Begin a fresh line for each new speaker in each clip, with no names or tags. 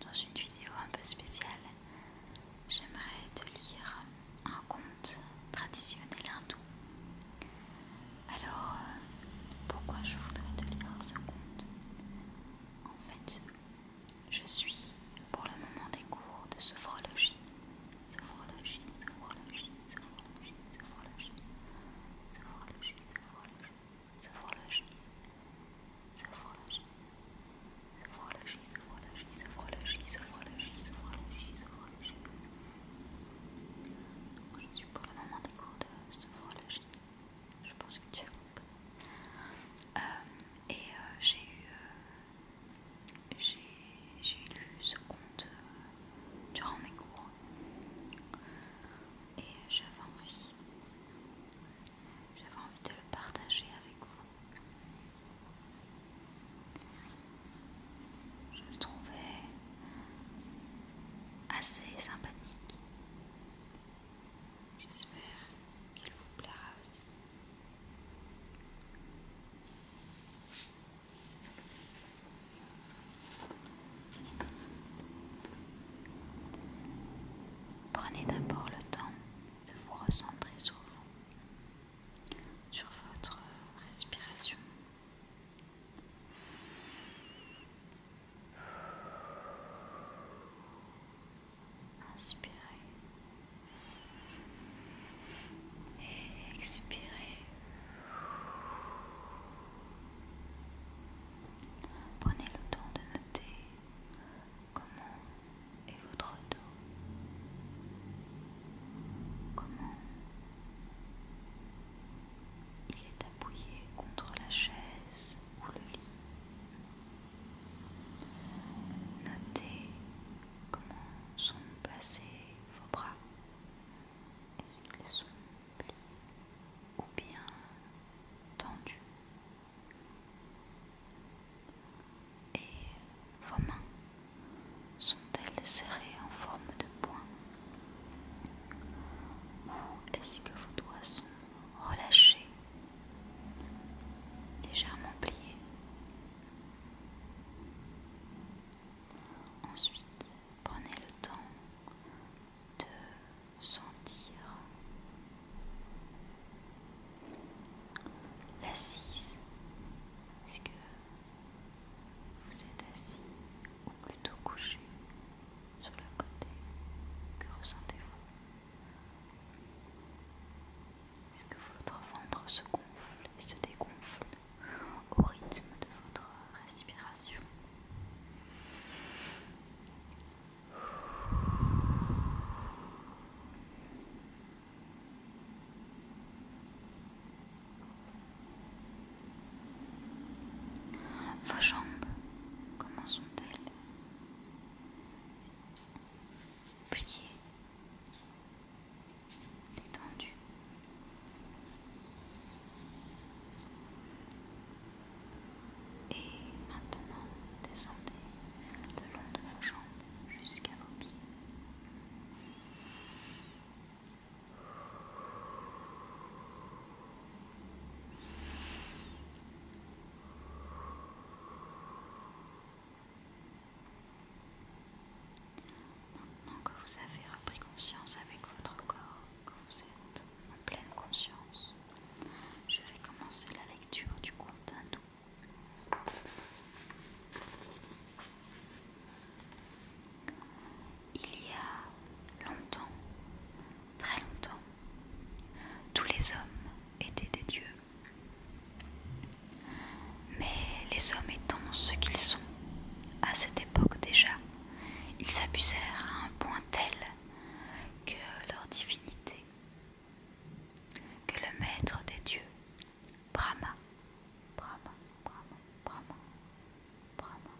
dans une vidéo un peu spéciale, j'aimerais te lire un conte traditionnel hindou. Alors, euh, pourquoi je voudrais te lire ce conte En fait, je suis pour le moment des cours de sophrologie. Sophrologie, sophrologie, sophrologie, sophrologie, sophrologie, sophrologie, sophrologie, sophrologie, sophrologie, sophrologie, sophrologie, sophrologie, sophrologie, sophrologie, sophrologie. Donc, je suis pour le moment des cours de sophrologie. Je pense que tu as compris. et j'ai eu, j'ai lu ce conte durant mes cours. Et j'avais envie j'avais envie de le partager avec vous. Je le trouvais assez sympathique. J'espère qu'il vous plaira aussi. Prenez d'abord le temps de vous recentrer sur vous, sur votre respiration. Inspirez et expirez. Prenez le temps de noter comment est votre dos, comment il est appuyé contre la chaise ou le lit. Notez comment sont placés vos bras. et s'ils ou bien tendu. Et vos mains sont-elles serrées en forme de poing Ou est-ce que vos doigts sont relâchés, légèrement pliés Ensuite, prenez le temps de sentir l'assise. Est-ce que vous êtes assis ou plutôt couché sur le côté Que ressentez-vous Est-ce que votre ventre se gonfle et se dégonfle au rythme de votre respiration. Vos jambes, comment sont-elles Pliées, détendues. Et maintenant, descendez le long de vos jambes jusqu'à vos pieds. Maintenant que vous avez repris conscience avec votre corps, que vous êtes en pleine conscience, je vais commencer la lecture du conte hindou. Il y a longtemps, très longtemps, tous les hommes étaient des dieux. Mais les hommes étant ce qu'ils sont, à cette époque déjà, ils s'abusèrent à un point tel que leur divinité, que le maître des dieux, Brahma, Brahma, Brahma, Brahma, Brahma,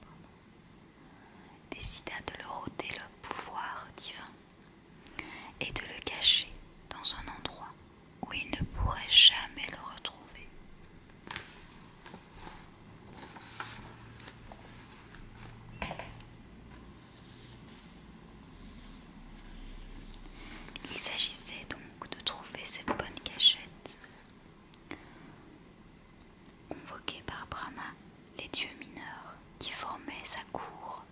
Brahma, décida de leur ôter le pouvoir divin et de le cacher dans un endroit où il ne pourrait jamais le retrouver. Il s'agissait donc de trouver cette bonne cachette. Convoqués par Brahma, les dieux mineurs qui formaient sa cour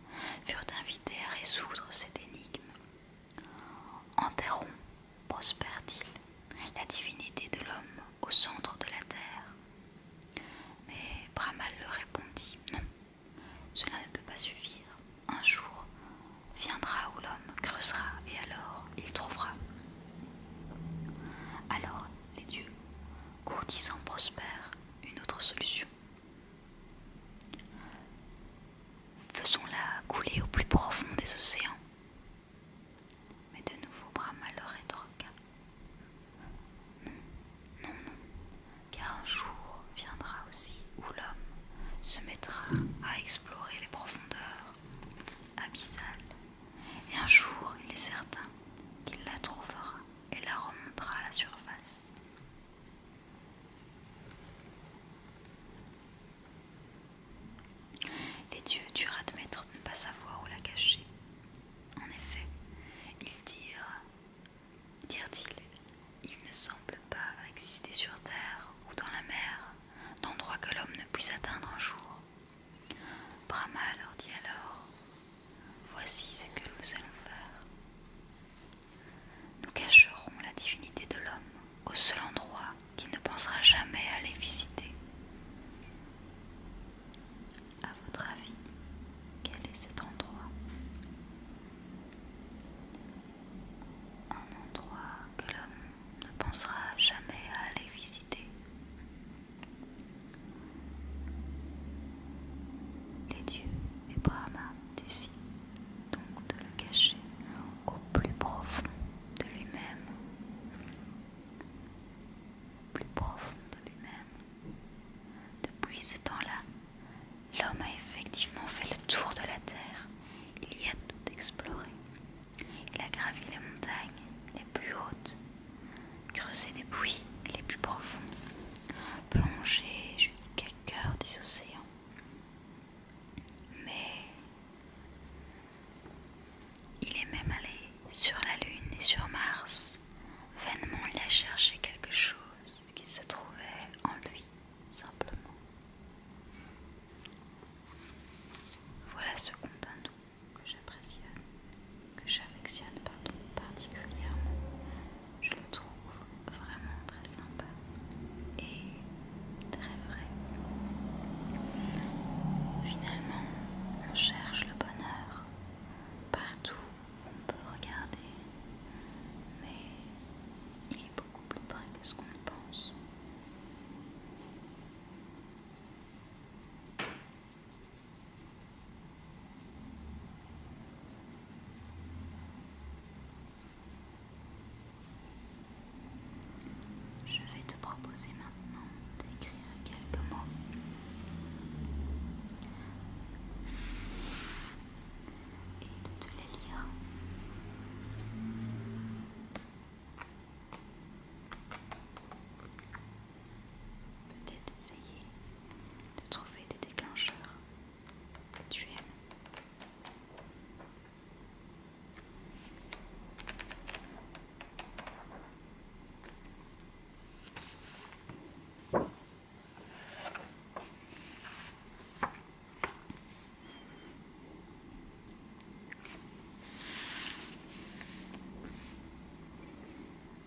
furent invités à résoudre cette énigme. « Enterrons, prospère-t-il, la divinité de l'homme au centre de la terre. Mais Brahma leur répondit Non, cela ne peut pas suffire. Un jour viendra où l'homme creusera et alors il trouvera. Alors les dieux, courtisant, prospèrent une autre solution. Faisons-la couler au plus profond des océans. Mais de nouveau Brahma leur et Non, non, non, car un jour viendra aussi où l'homme se mettra à explorer les profondeurs abyssales. Et un jour, il est certain qu'il la trouvera et la remontera à la surface. Les dieux durent admettre de ne pas savoir où la cacher. En effet, ils dirent, dirent-ils, il ne semble pas exister sur terre ou dans la mer d'endroit que l'homme ne puisse atteindre un jour. Brahma leur dit alors, voici ce que nous allons faire. Nous cacherons la divinité de l'homme au seul endroit qui ne pensera jamais à les visiter. À votre avis, quel est cet endroit Un endroit que l'homme ne pensera jamais à aller visiter. Les dieux et Brahma décident donc de le cacher au plus profond de lui-même, au plus profond de lui-même. Depuis ce temps-là, l'homme a effectivement fait le tour de la Terre, il y a tout exploré. Il a gravi les montagnes les plus hautes, creusé des puits les plus profonds, plongé jusqu'à cœur des océans. Mais il est même allé sur la Lune et sur Mars. Vainement, il a cherché quelque chose qui se trouvait en lui, simplement. Voilà ce que hindou que j'affectionne particulièrement je le trouve vraiment très sympa et très vrai. Finalement, on cherche le bonheur partout où on peut regarder, mais il est beaucoup plus près que ce qu'on pense. Je vais te proposer maintenant d'écrire quelques mots. Et de te les lire. Peut-être essayer de trouver des déclencheurs que tu aimes. Le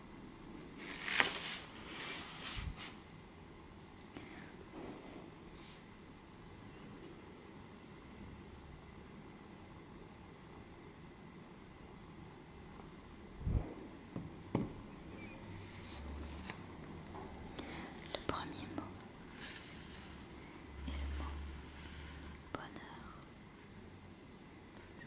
premier mot est le mot bonheur.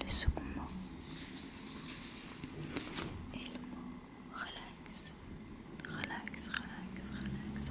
Le second mot est le mot relax, relax, relax, relax,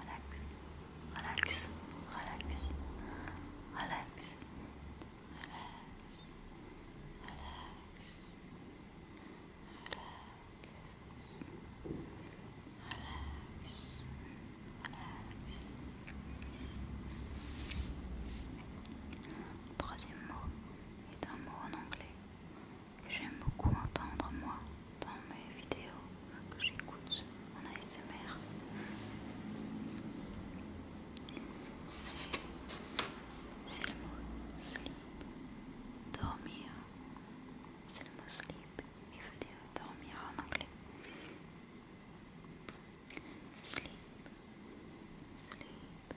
Relax, Alex, Alex, Alex, Troisième mot est un mot en anglais J'aime beaucoup entendre moi dans mes vidéos que j'écoute en ASMR. C'est le mot sleep. Dormir. C'est le mot sleep qui veut dire dormir en anglais. Sleep. Sleep. sleep. sleep.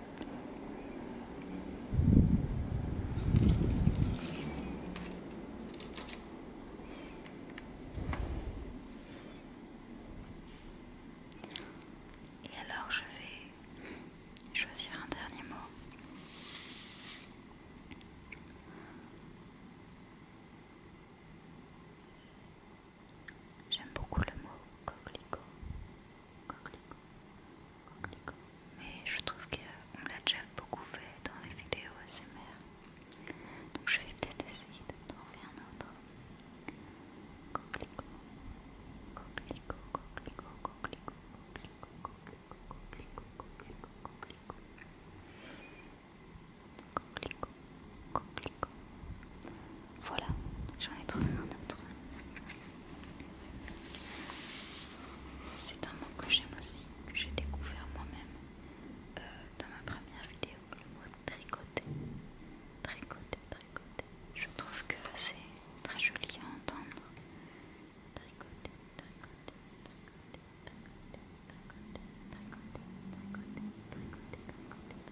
Et alors je vais choisir un dernier mot. J'aime beaucoup le mot coquelicot coquelicot, coquelicot. Mais je trouve qu'on l'a déjà beaucoup fait dans les vidéos ASMR. Donc je vais peut-être essayer de trouver un autre. Coquelicot, coquelicot, coquelicot, coquelicot, coquelicot, coquelicot, coquelicot, coquelicot, coquelicot. Coquelicot, coquelicot, voilà, j'en ai trouvé un autre. C'est un mot que j'aime aussi, que j'ai découvert moi-même dans ma première vidéo, le mot tricoter. Tricoter, tricoter. Je trouve que c'est très joli à entendre. Tricoter, tricoter, tricoter, tricoter, tricoter, tricoter, tricoter, tricoter, tricoter.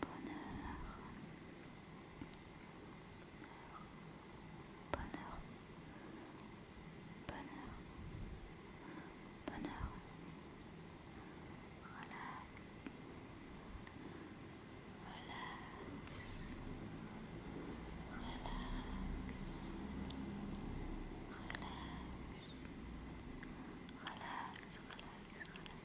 bonheur, bonheur, bonheur, bonheur, relax, relax, relax. Relax, relax, relax, relax.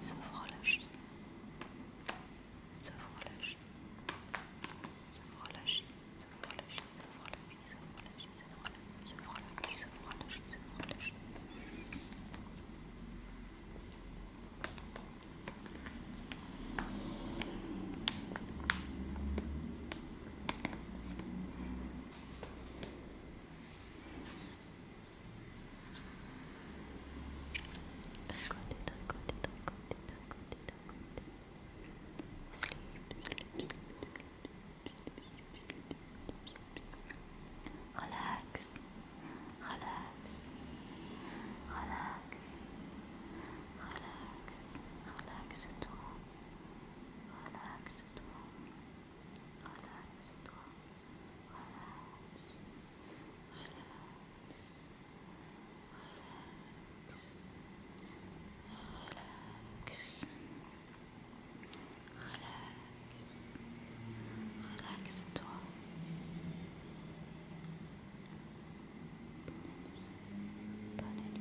Sophrologie. relâche ça relâcher, ça relâche, ça ça relâche, ça D'un côté, d'un côté, d'un côté, d'un côté, d'un côté. sleep, Relax, relax, relax, relax, relax, relax. Relax. Relax. Relax toi. Bonne